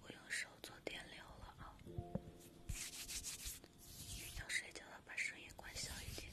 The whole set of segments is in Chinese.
我用手做电流了啊！要睡觉了，把声音关小一点。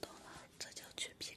懂了，这就去 PK。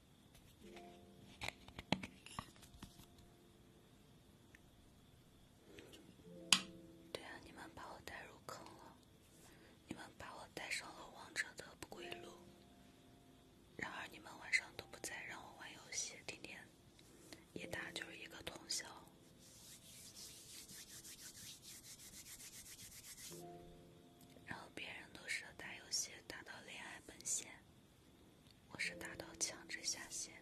对啊，你们把我带入坑了，你们把我带上了王者的不归路。然而，你们晚上都不在，让我玩游戏，天天一打就是一个通宵。然后别人都是打游戏打到恋爱奔现，我是打到强制下线。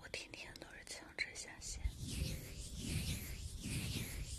我天天都是强制下线。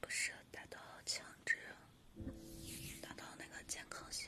不是打到强制，打到那个健康性。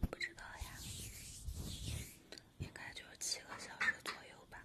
不知道呀，应该就是七个小时左右吧。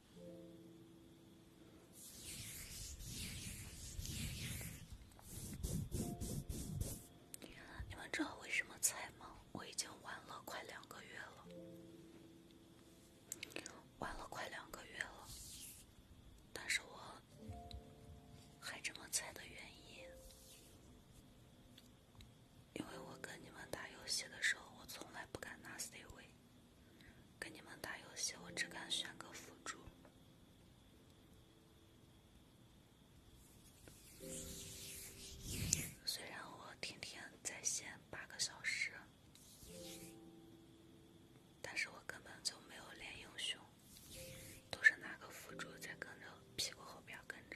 你们知道为什么菜吗？我已经玩了快两个月了，玩了快两个月了，但是我还这么菜的原因，因为我跟你们打游戏的时候，我从来不敢拿 C 位。跟你们打游戏，我只敢选个辅助。虽然我天天在线八个小时，但是我根本就没有练英雄，都是拿个辅助在跟着屁股后边跟着。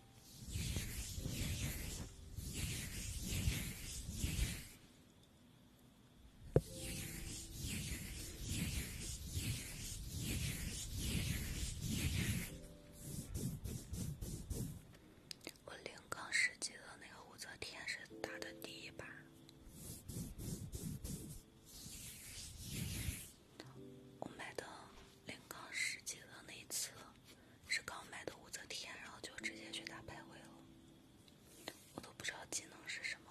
我零杠十级的那个武则天是打的第一把，我买的。零杠十级的那一次，是刚买的武则天，然后就直接去打排位了，我都不知道技能是什么。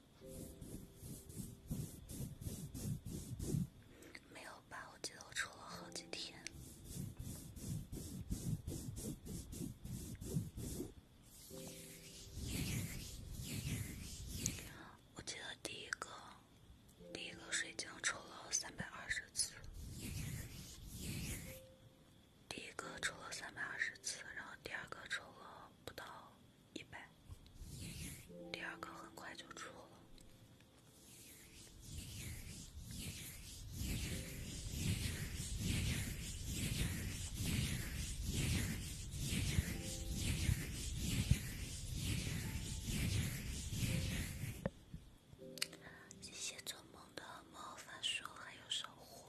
没有吧？我记得我抽了好几天。我记得第一个，第一个水晶抽了三百二次，第一个抽了三百二十次，然后第二个抽了。不到一百，第二个很快就出了。谢谢做梦的魔法书，还有守护。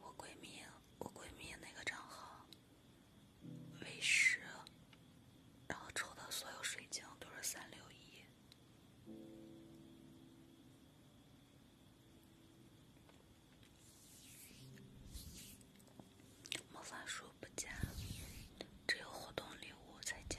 我闺蜜，我闺蜜那个账号。喂食，然后抽的所有水晶都是三六一，魔法书不加，只有活动礼物才加。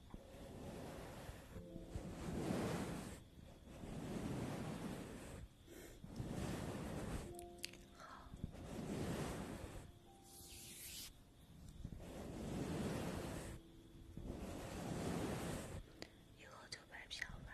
好，以后就买票吧。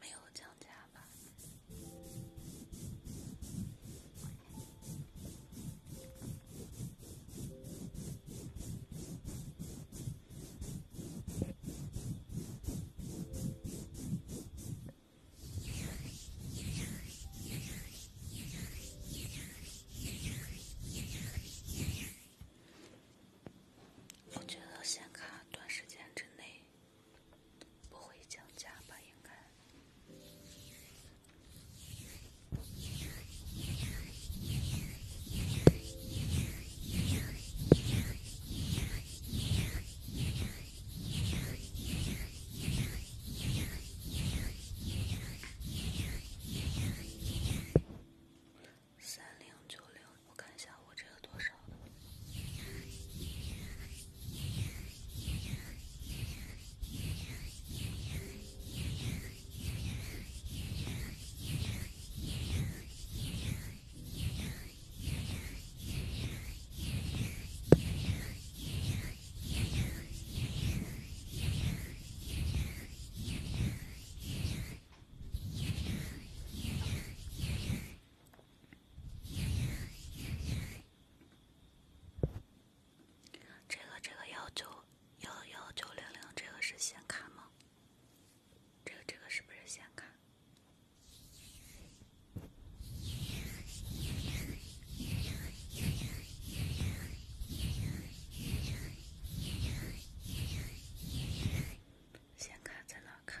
没有降价吧？我觉得显卡短时间之内不会降价吧，应该。三零九零，我看一下我这个多少这个这个要求。幺幺九零零，这个是显卡吗？这个这个是不是显卡？显卡在哪看？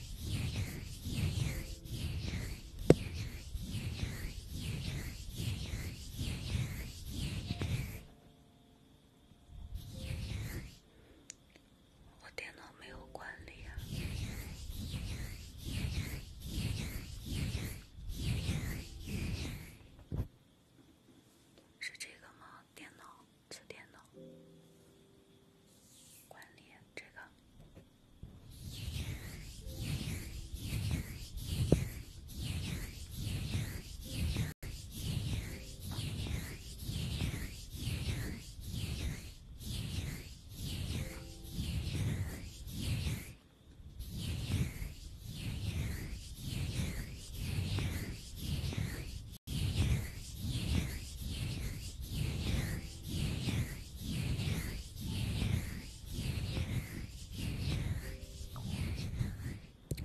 我电脑没有管理是这个吗？电脑？做电脑关联这个。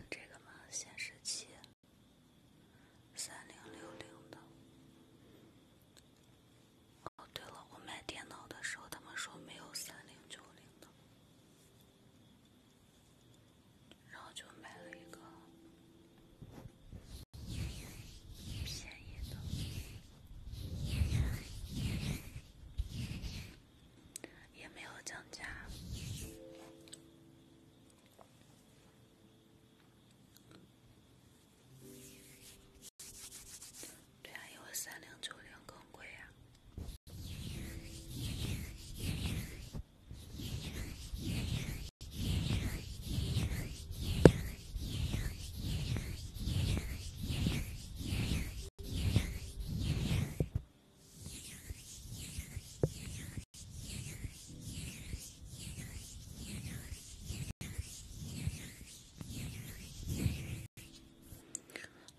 这个吗？显示器，三零六零的。哦，对了，我买电脑的时候，他们说没有三零九零的，然后就买了一个。便宜的也没有降价，啊，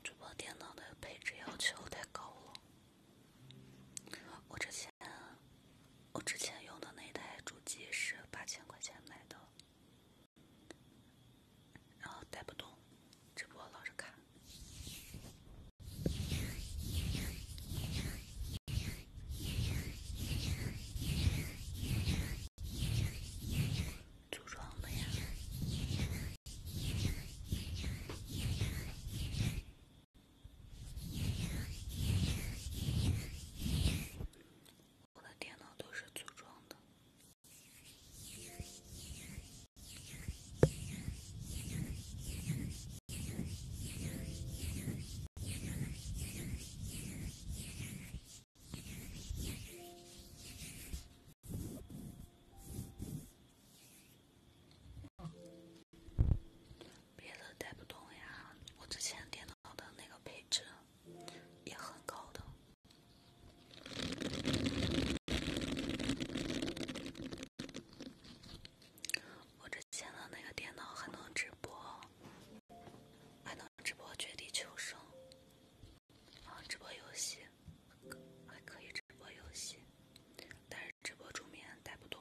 这把电脑的配置要求太高了，我这钱。我之前用的那台主机是八千块钱买的，然后带不动，直播老是卡。组装的呀。我的电脑都是组装的。别的带不动呀，我之前电脑的那个配置也很高的。我之前的那个电脑还能直播，还能直播绝地求生，啊，直播游戏还可以直播游戏，但是直播助眠带不动。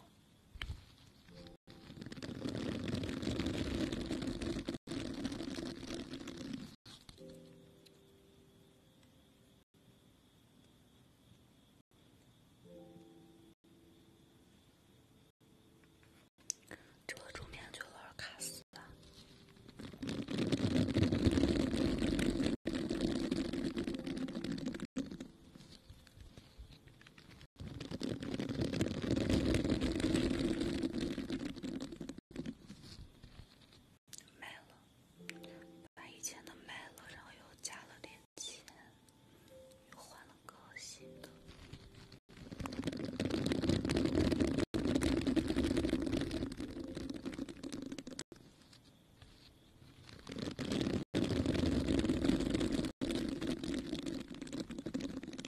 这个桌面就有点卡死了。卖了，把以前的卖了，然后又加了点钱，又换了个新的。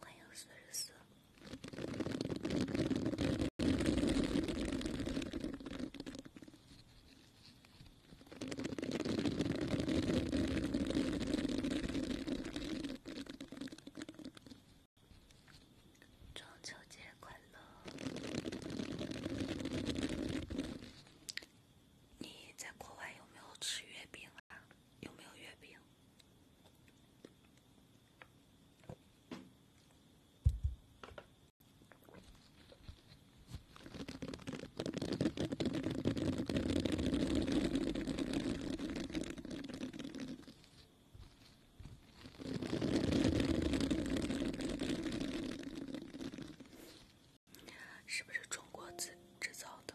欢迎四十中秋节快乐！你在国外有没有吃月饼啊？有没有月饼？是不是中国制造的？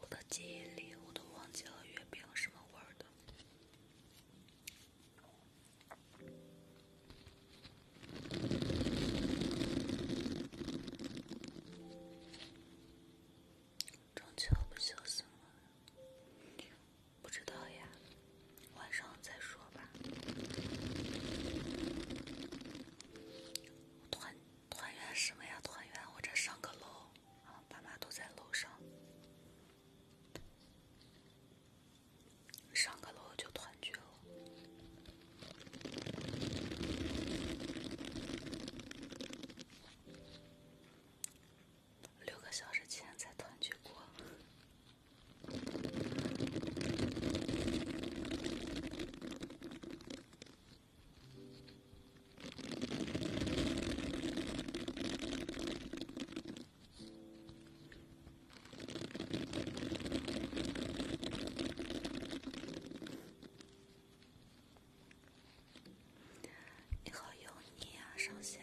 我的记忆里，我都忘记了月饼什么味儿的。中秋不休息吗？不知道呀，晚上再说吧。我团。团圆什么呀？团圆，我这上个楼，啊，爸妈都在楼上，上个楼就团聚了。六个小时前才团聚过。你好油腻啊，上线。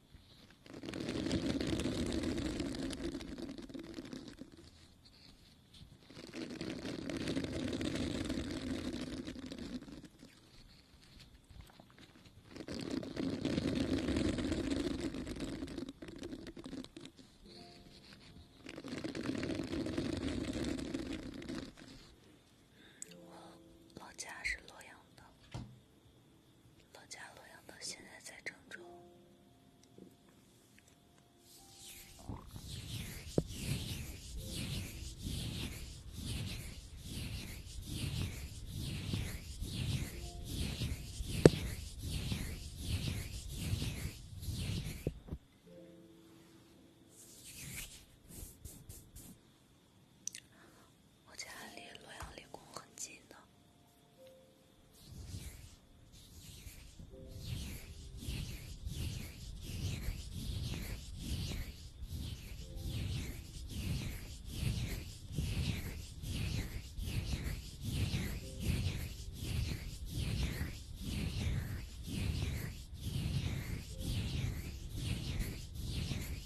我老家是洛阳的。老家洛阳到现在在郑州。我家离洛阳理工很近的。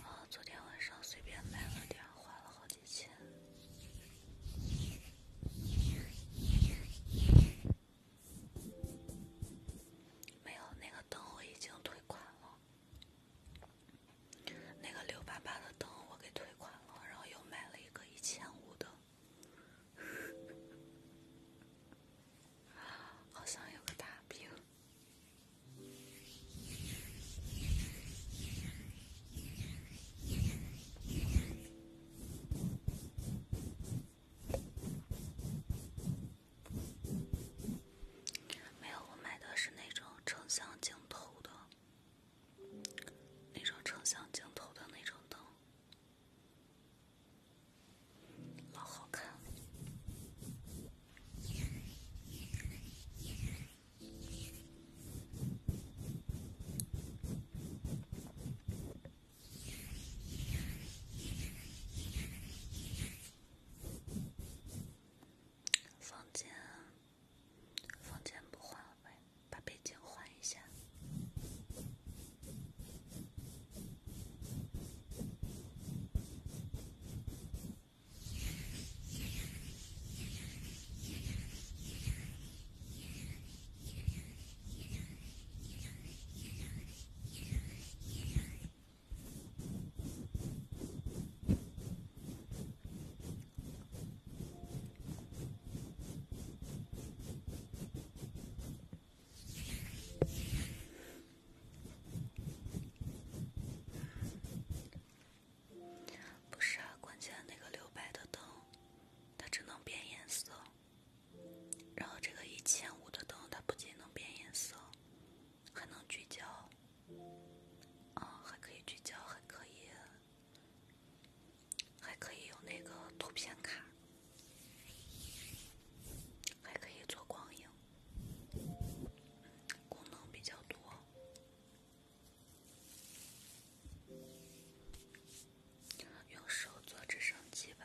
哦，昨天晚上随便买了点，花了好几千。没有，那个灯我已经退款了。那个六八八的灯我给退款了，然后又买了一个一千五的。好像有个大屏，没有，我买的是那种成像镜头的，那种成像镜头的那种灯。老好看，房间，房间不换了呗。把背景换一下。不是啊，关键那个六百的灯，它只能变颜色；然后这个一千五的灯，它不仅能变颜色，还能聚焦，啊，还可以聚焦，还可以。还可以用那个图片卡，还可以做光影，功能比较多。用手做直升机吧。